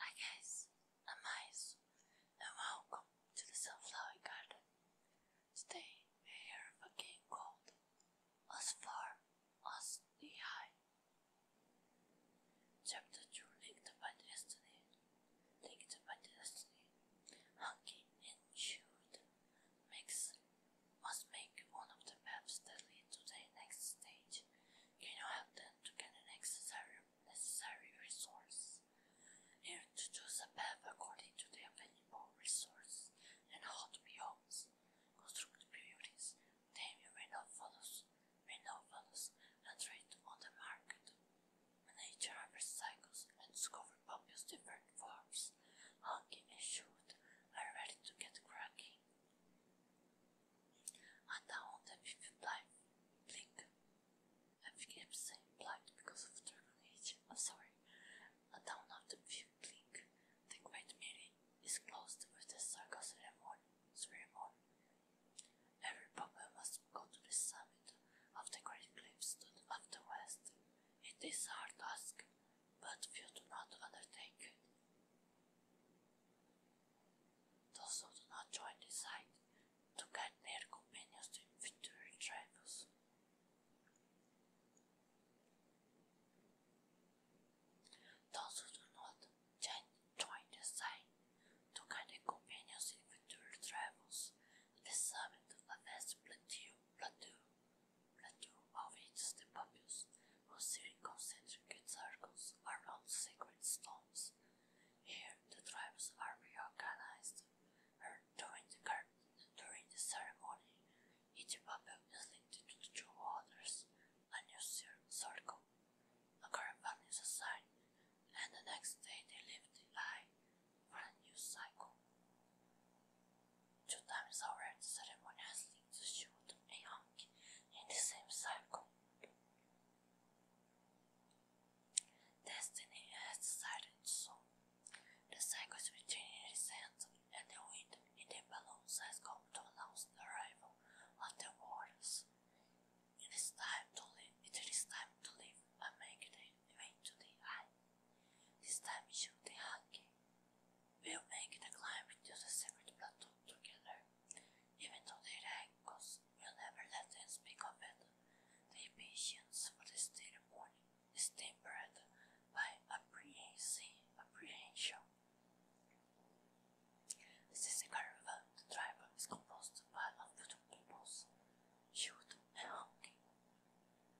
Hi guys, I'm Mice and welcome to the Sunflower Garden. Today we are a game called Us Far, Us High. Chapter 2 Linked by Destiny. Linked by Destiny. Hunky and Chewed makes must make one of the maps that lead to the next stage you know, help them to get the necessary, necessary resource and to choose a path according to their available resource and how to be homes, construct beauties, tame rhinophobos, rhinophobos, and trade on the market. Nature cycles and discover Pompey's different forms. Hunky and Shoot are ready to get cracking and I wonder if you blink. I think I'm saying because of Dragon Age. I'm sorry. And I wonder if blink. The Great Meeting is closed with a circus ceremony. Every popper must go to the summit of the Great Cliffs of the West. It is a hard task, but few do not undertake those who do not join the site to guide their companions to future travels. Those who do not join the site to guide their companions to future travels, the summit of this plateau, plateau, plateau of its the whose searing concentric circles around sacred stones. Here, the tribes are reorganized during the, ceremony. Each member is linked to the two waters, a new circle. A caravan is assigned, and the next day they leave the eye for a new cycle. Two times already, ceremony has linked the in the same cycle, Destiny has decided so. The cycle between the sand and the wind in the balloon has come to announce the arrival of the waters. It is time to leave. It is time to leave and make the way to the eye. This time should the hungry we will make the climb to the secret plateau together. Even though their echoes will never let them speak of it, their patience for this ceremony is tempered by apprehension. The Sisikaruva tribe is composed by of two peoples, Shoot and Honky.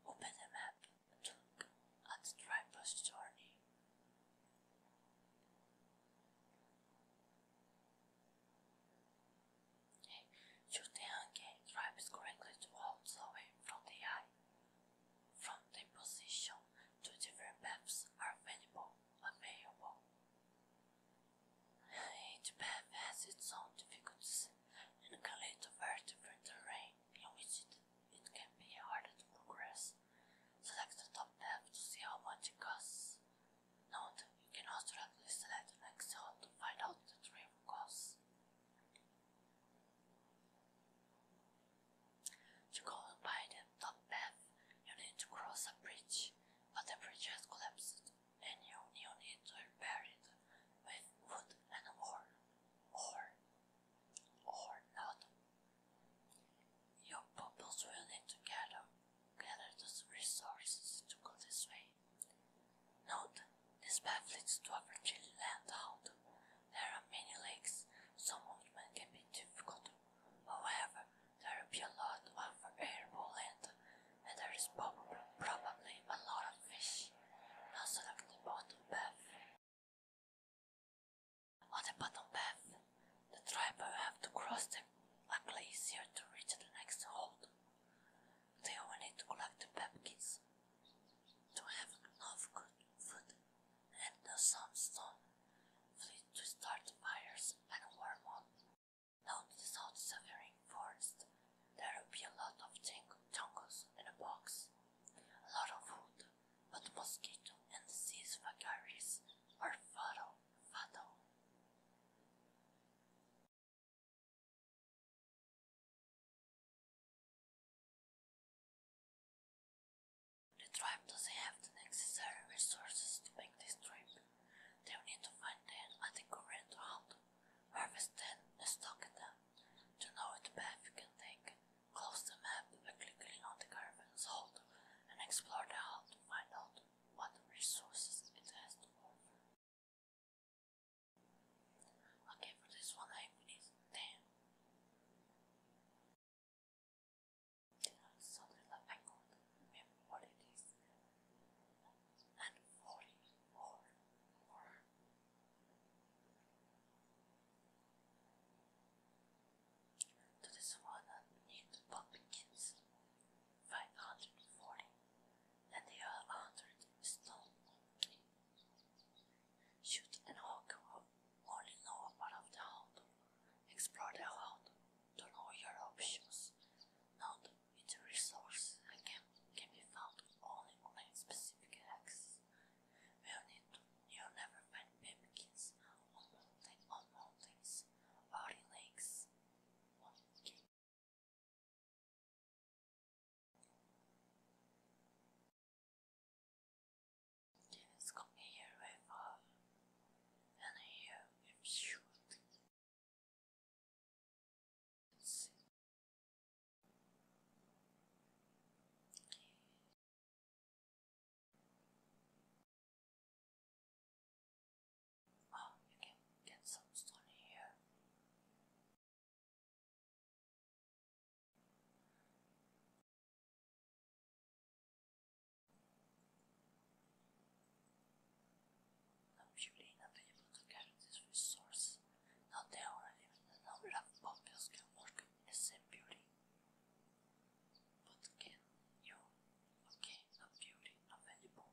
Open the map and look at the tribe's journey. Okay. Shoot the angle drives correctly walls away from the eye. From the position, two different paths are available available. Each path has its own difficulties and can lead to very different terrain in which it, it can be harder to progress. Select the top tab to see how much it costs. Note, you can also directly select an Excel to find out the trim costs. To go and the top path, you need to cross a bridge, but the bridge has collapsed and you, need to repair it with wood and war. Or, or not your pupils will need to gather, gather those resources to go this way. Note, this path leads to a fertile landhold. There are many lakes, so movement can be difficult. However, there will be a lot of arable land, and there is prob probably a lot of fish. Now select the bottom path on the bottom path, the driver have to cross the luckily easier to reach the next hold. They will need to collect the pumpkins to have enough good food and some stone fleet to start fires and warm on. Down the south severing forest, there will be a lot of jungles in a box, a lot of food, but mosquito and disease vagaries are fatal, fatal. The tribe doesn't have the necessary resources to make this trip. They will need to find them at route, harvest them stock them, to know the path you can Close the map by clicking on the carbon salt, and explore the hall to find out what resources it has to offer. Okay, for this one I need 10. So little I could remember what it is. And 44 more. To the Savannah uh, named Pumpkins, 540, and the other hundred is Shoot an arrow only know part of the hound. Explore the hound to know your options. Note it's a resource that can, be found only on a specific axis. We'll need to You'll never find pipkins on mountain on mountains or in lakes. Okay. Let's come here with and here with shoot. let Oh, you can get some stone here. I'm surely not able to carry this resource. Now there are even a number of populace can work in the what can you, what can a beauty available?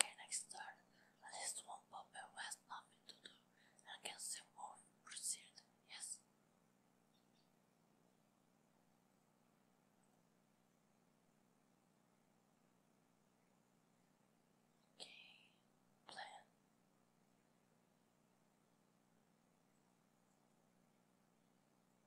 Okay, next turn. At least one Popper who has nothing to do and can see more proceed, yes? Okay, plan.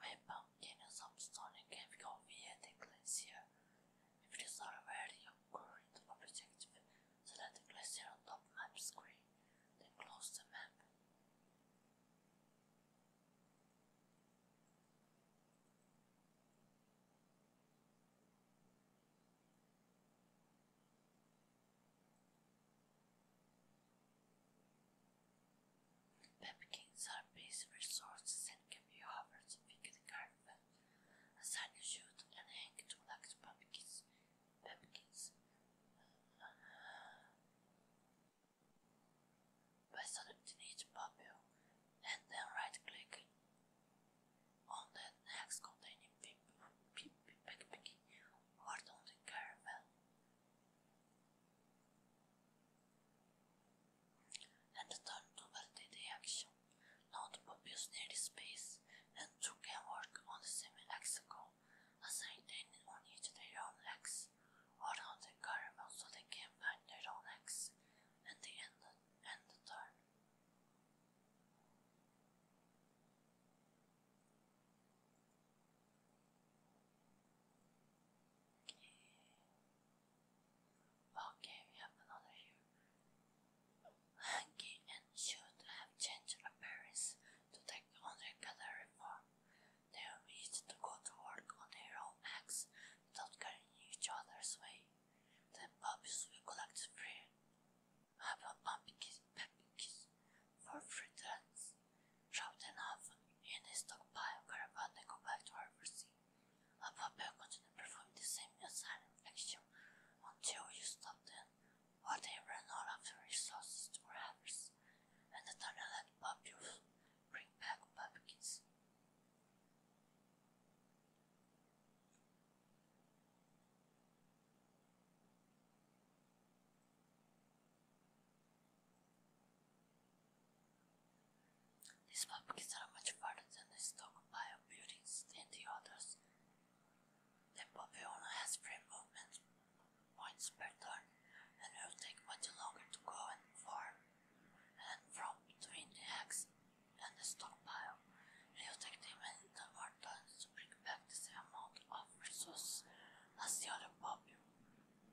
Weapon genus of Sonic can go via the glacier. If it is not aware of current objective, select the glacier on top map screen, then close the map. Pumpkins are basic resources and can be harbored in the garden. Assign a shoot and hang to collect pumpkins. Pumpkins. By selecting each pumpkin and then right click on the next containing pickpicking word on the caramel. And turned over the direction, not obvious near space, and two can work on the same hexagon, assigning on each their own X, or on the caramel so they can find their own X, and the end and the turn. Okay, we have another here. Hanky and should have changed appearance to take on their gallery form. They wished to go to work on their own acts without carrying each other's weight. The puppies will collect the prey. Have a pumpkin pumpkins for fruit trends. Drop them off in a stockpile caravan and go back to harvesting. A puppy will continue performing the same asylum action until you stop them or they run out of the resources to harvest. And the tunnel puppy will bring back pumpkins. These pumpkins are much farther than the stockpile of buildings and the others. The Papillon has free movement points per turn and will take much longer to go and farm and from between eggs and the stockpile. take them in the war times to bring back the same amount of resources as the other poppy.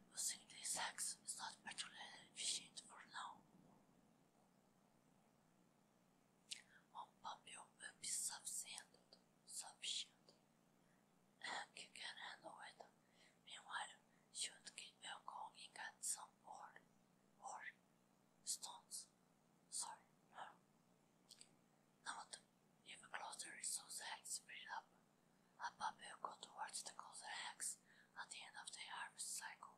Using this hacks is not particularly efficient for now. One will be subsided, sufficient, and you can handle Meanwhile, should keep your going at some board or stones. Sorry, no. Now If a closer is so the axe freed up, a puppy will go towards the closer axe at the end of the harvest cycle.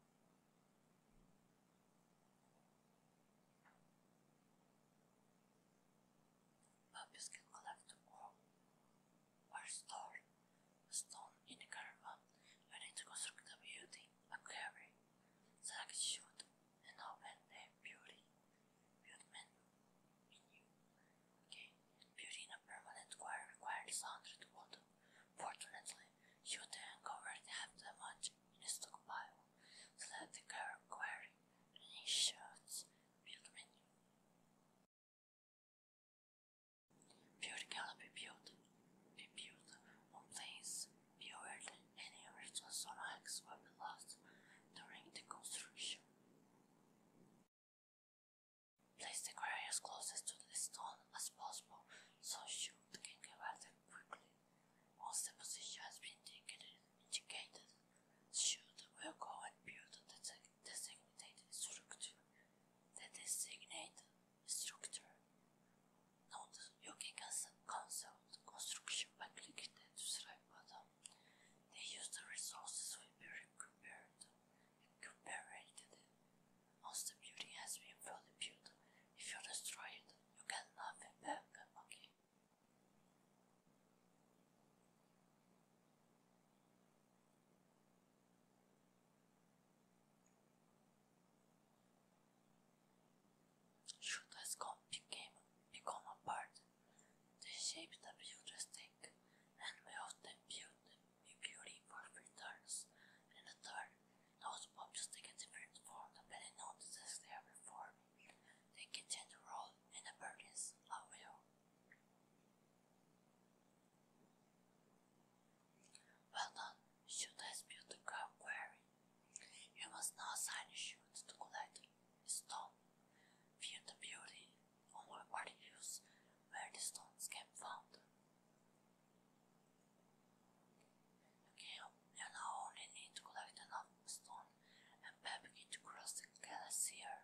Puppies can collect or, or store stone in a caravan when it constructs a building, a quarry, Sex should ennoble the beauty, beautiful in you. Okay, beauty in a permanent choir requires hundred wood. Fortunately, you covered half the much in a stockpile, so that the current quarry initiates build menu. Beauty cannot be built, be built on fewer than any original Sonax weapon lost during the construction. Place the quarry as closest to the stone as possible so shoot can get at quickly. Once the position has been indicated, shoot will go and build the designated structure. The designated structure. Note, you can cancel construction by clicking the subscribe button. They use the resources we prepared and comparated it. Once the building has been fully built, if you destroy it, you get back, okay? Should the scope became, become apart, the shape the builders take, and we often build be beauty for three turns, and the turn, those objects take a different form depending on the task they are performing. They can change the role in the burdens of will. Well done, uh, shoot has built the crowd quarry. You must now sign a shoot to collect a stone. View the beauty on my party where the stones can be found. Okay, you now only need to collect enough stone and then begin to cross the glacier.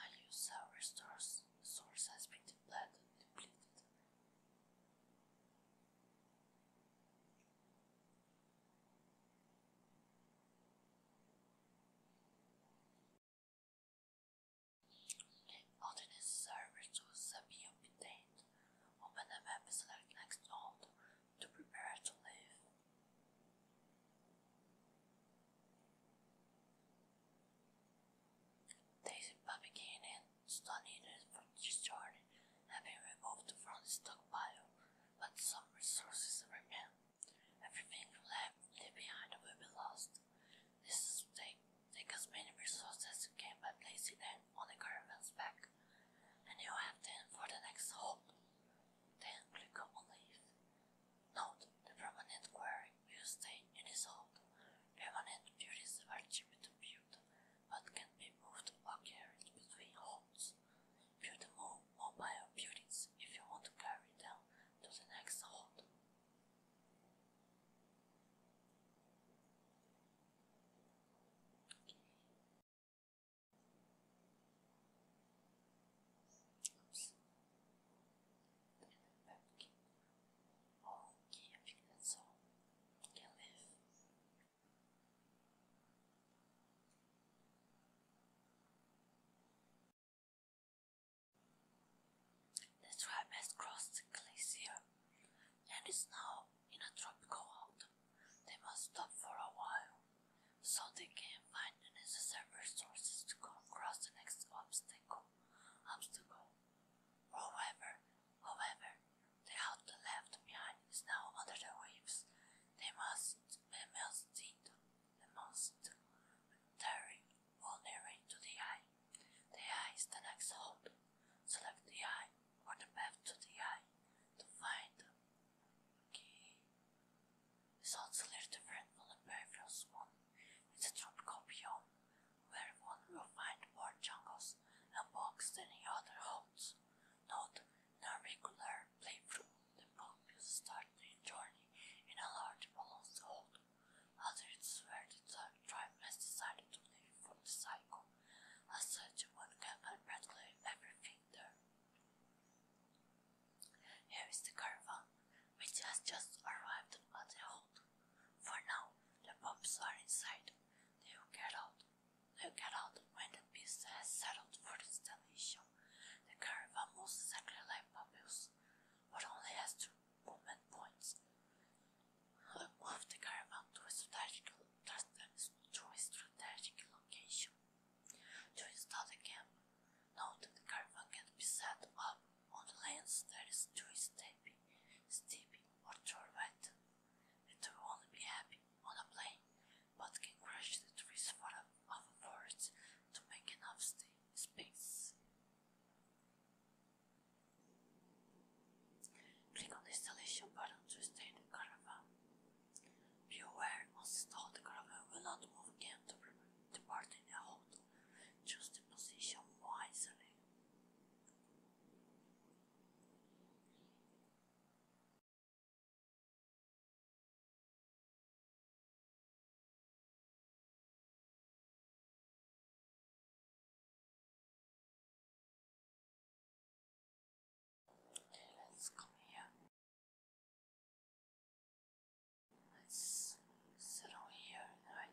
I use our resource source has been depleted depleted. All the necessary resources have been obtained. Open the map and select next halt to prepare to leave. Daisy Papagin and stone eaters from Chicharn have been removed from the stockpile, but some resources remain. Everything left left behind will be lost. This will take, take as many resources as you can by placing them on the caravan's back, and you'll have them for the next hold. Then click on leave. Note the permanent quarry will stay in its hold. Permanent beauties are cheap to build, but can be moved or carried between halts. Build more mobile buildings if you want to carry them to the next halt. The tribe has crossed the glacier and is now in a tropical autumn. They must stop for a while so they can find the necessary resources to go across the next obstacle. Obstacle. However, however, the out left behind is now under the waves. They must be melted the most tearing ordinary to the eye. The eye is the next hope. Select the eye or the path to the eye to find the key. Results a little different from the previous one. It's a drop copy on where one will find more jungles and bogs than in other homes. Note, in a regular playthrough, the book will start the journey in a large balanced hold. Other it's where the tribe has decided to live from the cycle. As such, one can find practically everything there. Here is the caravan, which has just arrived at the hold. For now, the pups are inside, they get out. They get out when the beast has settled for the destination. They curve almost exactly like pupils, but only has two movement points. I move the caravan to a strategic, to a strategic location. To install the camp, note that the caravan can be set up on the lands that is too steep, steep or too wet. It will only be happy on a plane, but can crush the trees for a, of a forest to make enough space. Click the installation button to stay the caravan. Be aware, once installed, the caravan will not move again to depart in a hotel. Choose the position wisely. Okay, let's come here. Let's sit over here, right?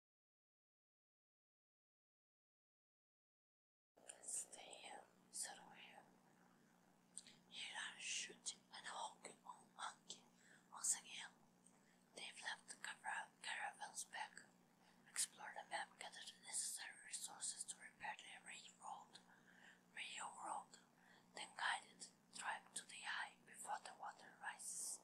Stay sort of here. Here are shooting and hawking on monkey. Once again, they've left the car caravan's back. Explore the map, gather the necessary resources to repair the railroad. Railroad, then guide the tribe to the eye before the water rises.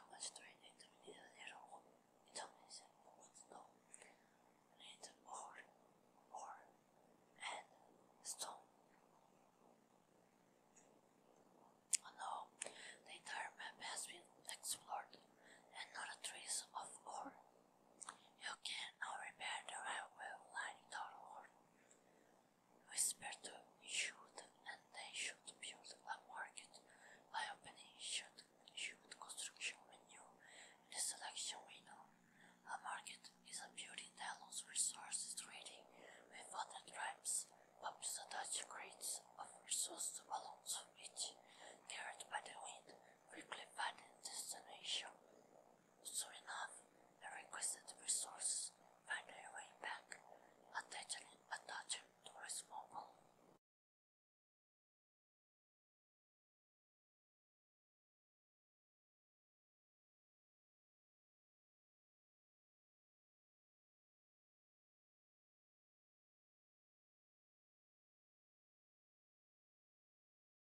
Alvastrein deed de meneer de Herzog niet alleen zijn bovendoel, maar in de oor, oor en stone. Oh uh, no, the entire map has been explored, and not a trace of ore. You can repair the railway line ore whisper to shoot, and they should build a market by opening Yud, Yud construction window in the selection window. A market is a building that allows resources trading with other tribes, but the Dutch crates of resource to balance of carried by the wind, quickly find its destination. Sure enough, her requested resources found their way back, attaching, attaching to a small goal.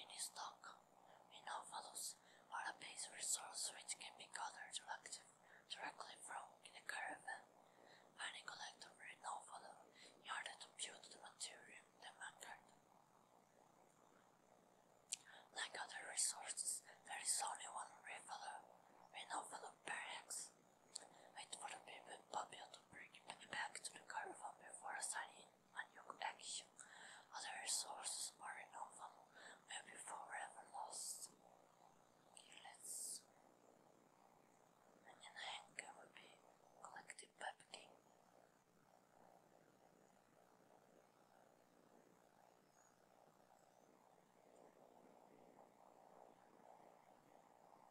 in stock. Enophilus are a base resource which can be gathered directly from the caravan. Many collect Enophilus in order to build the material they market. Like other resources, there is only one refiler, Enophilus barracks. Wait for the people, popular to bring it back to the caravan before signing a new action. Other resources are novel, maybe forever lost. let's. And in anger will be collective bubbling.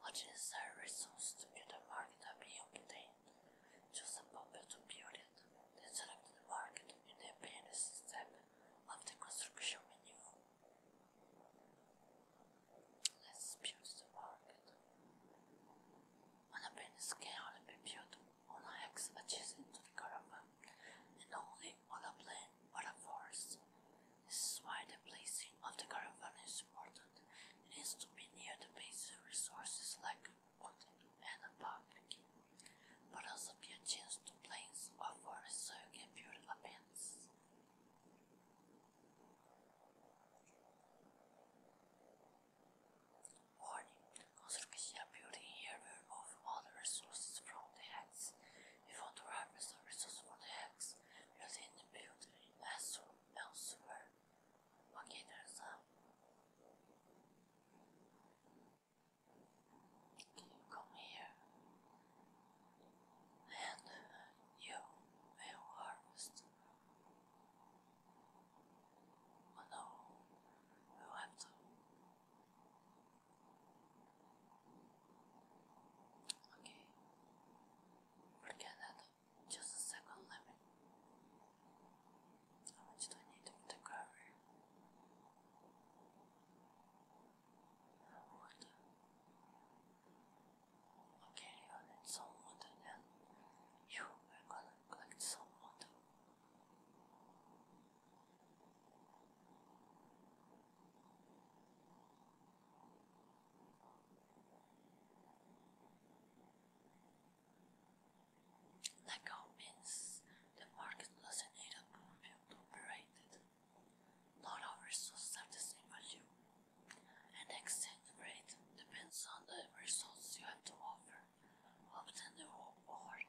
What is the resource to build a market up here Choose a bumper to build it, then select the market in the appearance step of the construction menu. Let's build the market. An appearance can only be on an X adjacent to the caravan, and only on a plain or a forest. This is why the placing of the caravan is important. It needs to be near the basic resources like wood and a park, but also be a chance to plains or forests so you can build a fence. Warning, construction a building here will remove all the resources from the hex. If you want to harvest a resource for the hex, you'll need to build it elsewhere. Okay, there's a. you come here? And you will harvest. Oh no, we have to. Okay, forget that just a second, let me. How much do I need of cover? Wood. Okay, I need some wood and then you are gonna collect some wood. Okay, let go means the market doesn't need a to operate. Not all results have the same value. and An exchange rate depends on the results you have to offer, often the reward.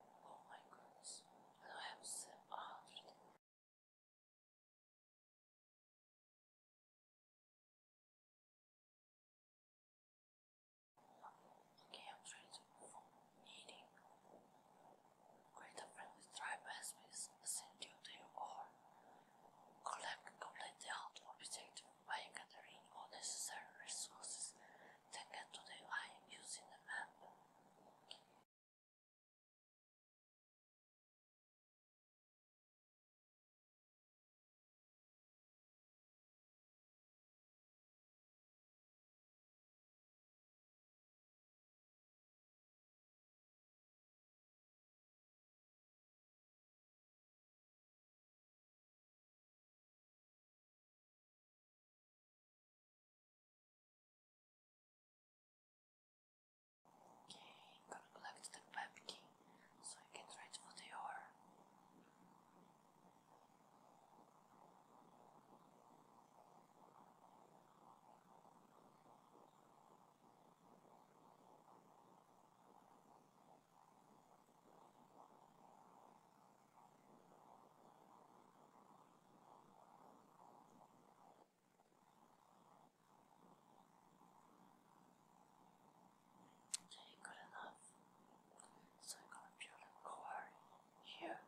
Oh my goodness, I have sleep all Okay, I'm trying to perform Create a friend with tribe aspects, send you to your or collect complete the out objective by gathering all necessary resources Thank you to the using a map. Okay, I'm gonna collect the pumpkin so I can try it for the ore. Okay, good enough. So I'm gonna build a core here.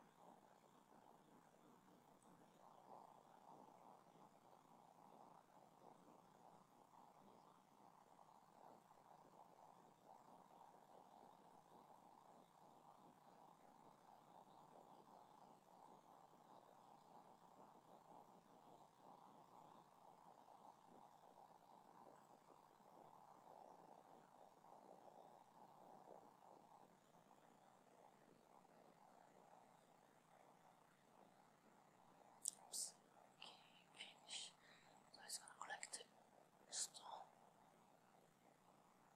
Oops. Okay, finish. So it's gonna collect the stone.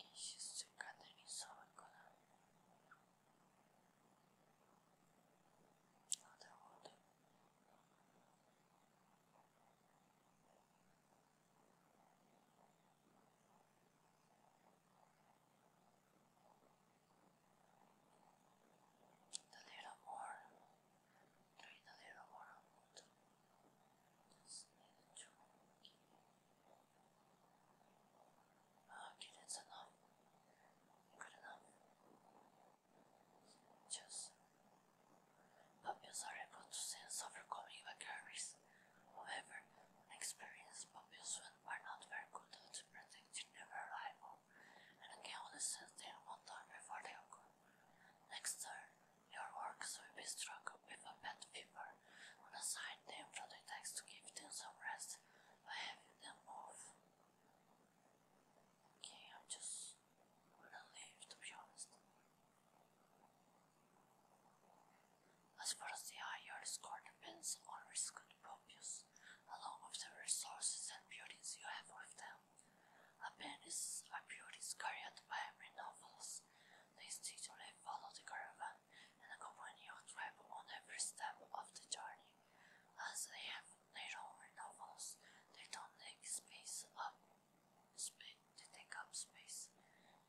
Окей, сейчас цыка нарисована. Надо вот. A little more. Traidorero morrón mucho. Okay, that's enough. Good enough. Just puppies are able to sense overcoming vagaries. However, experienced puppies are not very good at predicting their arrival and can only sense them one time before they occur. Next turn, your works will be struck with a bad fever, and aside them from the text to give them some rest by having them move. Okay, I'm just gonna leave to be honest. As far as the eye, your score depends on risk good purpose, along with the resources and beauties you have with them. Appendices appeared is carried by rhinoceros. They instinctively follow the caravan and accompany your tribe on every step of the journey. As they have their own rhinoceros, they don't take space up. Space, they take up space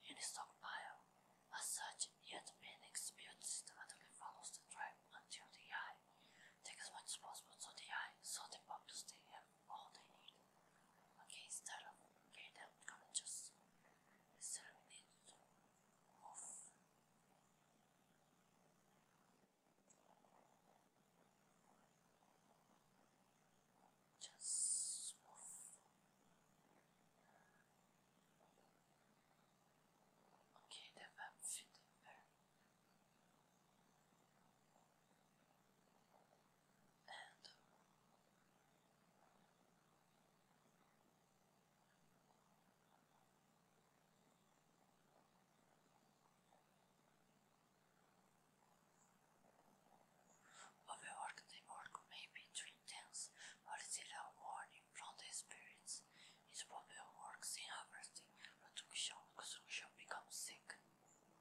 in the stockpile. As such, yet Phoenix build systematically follows the tribe until the eye takes much possible to the eye, so the purpose they have all they Okay, instead of okay, then we're just instead just Okay, the web fit in and Overwork and work be too intense, but still a warning from the spirits. It probably works in harvesting, production, construction becomes sick.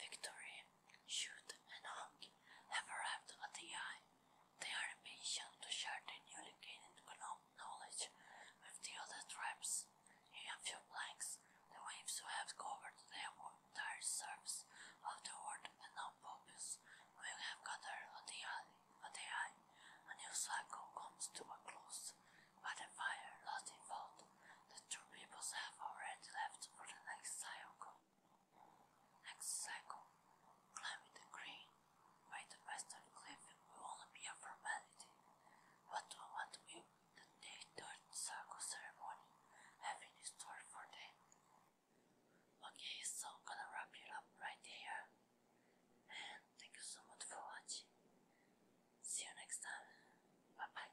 Victory, Shoot, and Hawk have arrived at the eye. They are impatient to share the newly gained knowledge with the other tribes. In a few blanks, the waves have covered their entire surface of the world and now populace will have gathered at the eye. At the eye. A new cycle comes to a close. But the fire, lost in fault, the two peoples have already left for the next cycle. Next cycle, climbing the green by the western cliff will only be a formality, but what will the day third cycle ceremony have in store for them? Okay, so gonna wrap it up right here. And thank you so much for watching. See you next time. Bye bye.